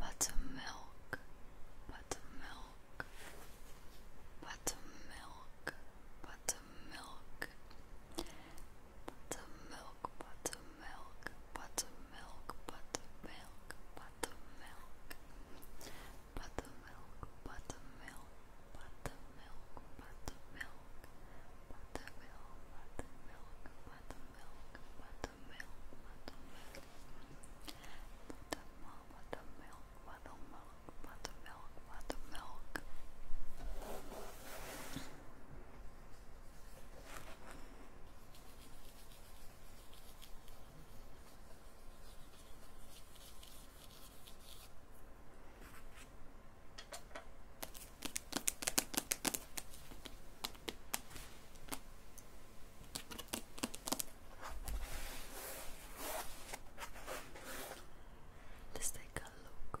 Buttermilk, buttermilk, buttermilk, buttermilk buttermilk, buttermilk, buttermilk, buttermilk, buttermilk, buttermilk, buttermilk, buttermilk, buttermilk, buttermilk, buttermilk, buttermilk, buttermilk, buttermilk, buttermilk. Buttermilk, buttermilk, buttermilk, buttermilk, buttermilk. Let's take a look.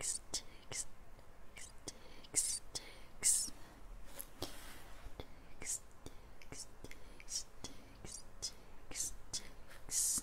Sticks, sticks, sticks, sticks. Sticks, sticks, sticks, sticks, sticks, sticks.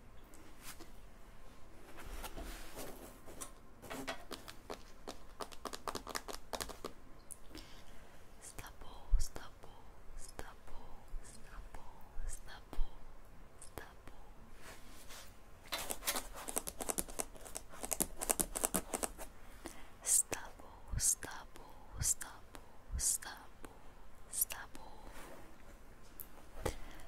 Stubble, stubble, stubble, stubble, stubble, stubble. Stubble, stubble, stubble, stubble, stubble.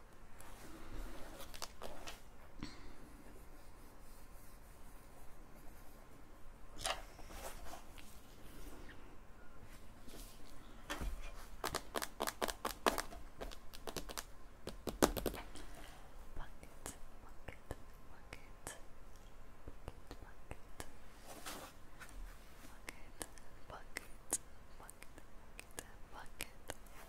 bucket, bucket, bucket, bucket, bucket, bucket, bucket, bucket, bucket, bucket,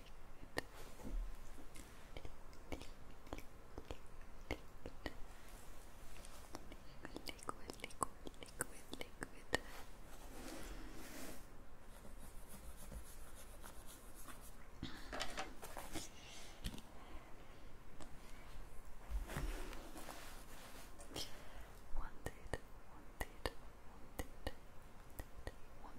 liquid, liquid, liquid, liquid. Wanted, wanted, wanted, wanted, wanted, wanted, wanted, wanted, wanted, wanted, wanted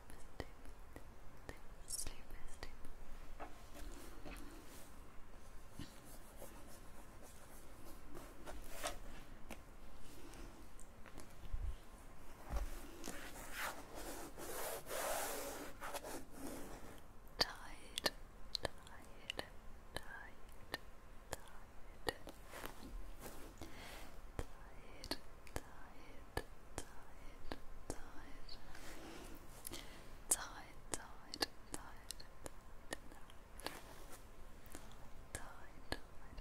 sleep, sleep, Tired, tired, tired, tired, tired, tired, tired, tired, tired, tired, tired, tired, tired, tired,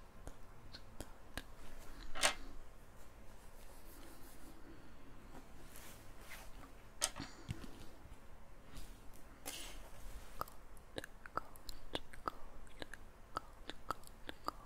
Cold, cold, cold, cold, cold, cold,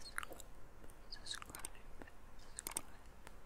Subscribe, subscribe,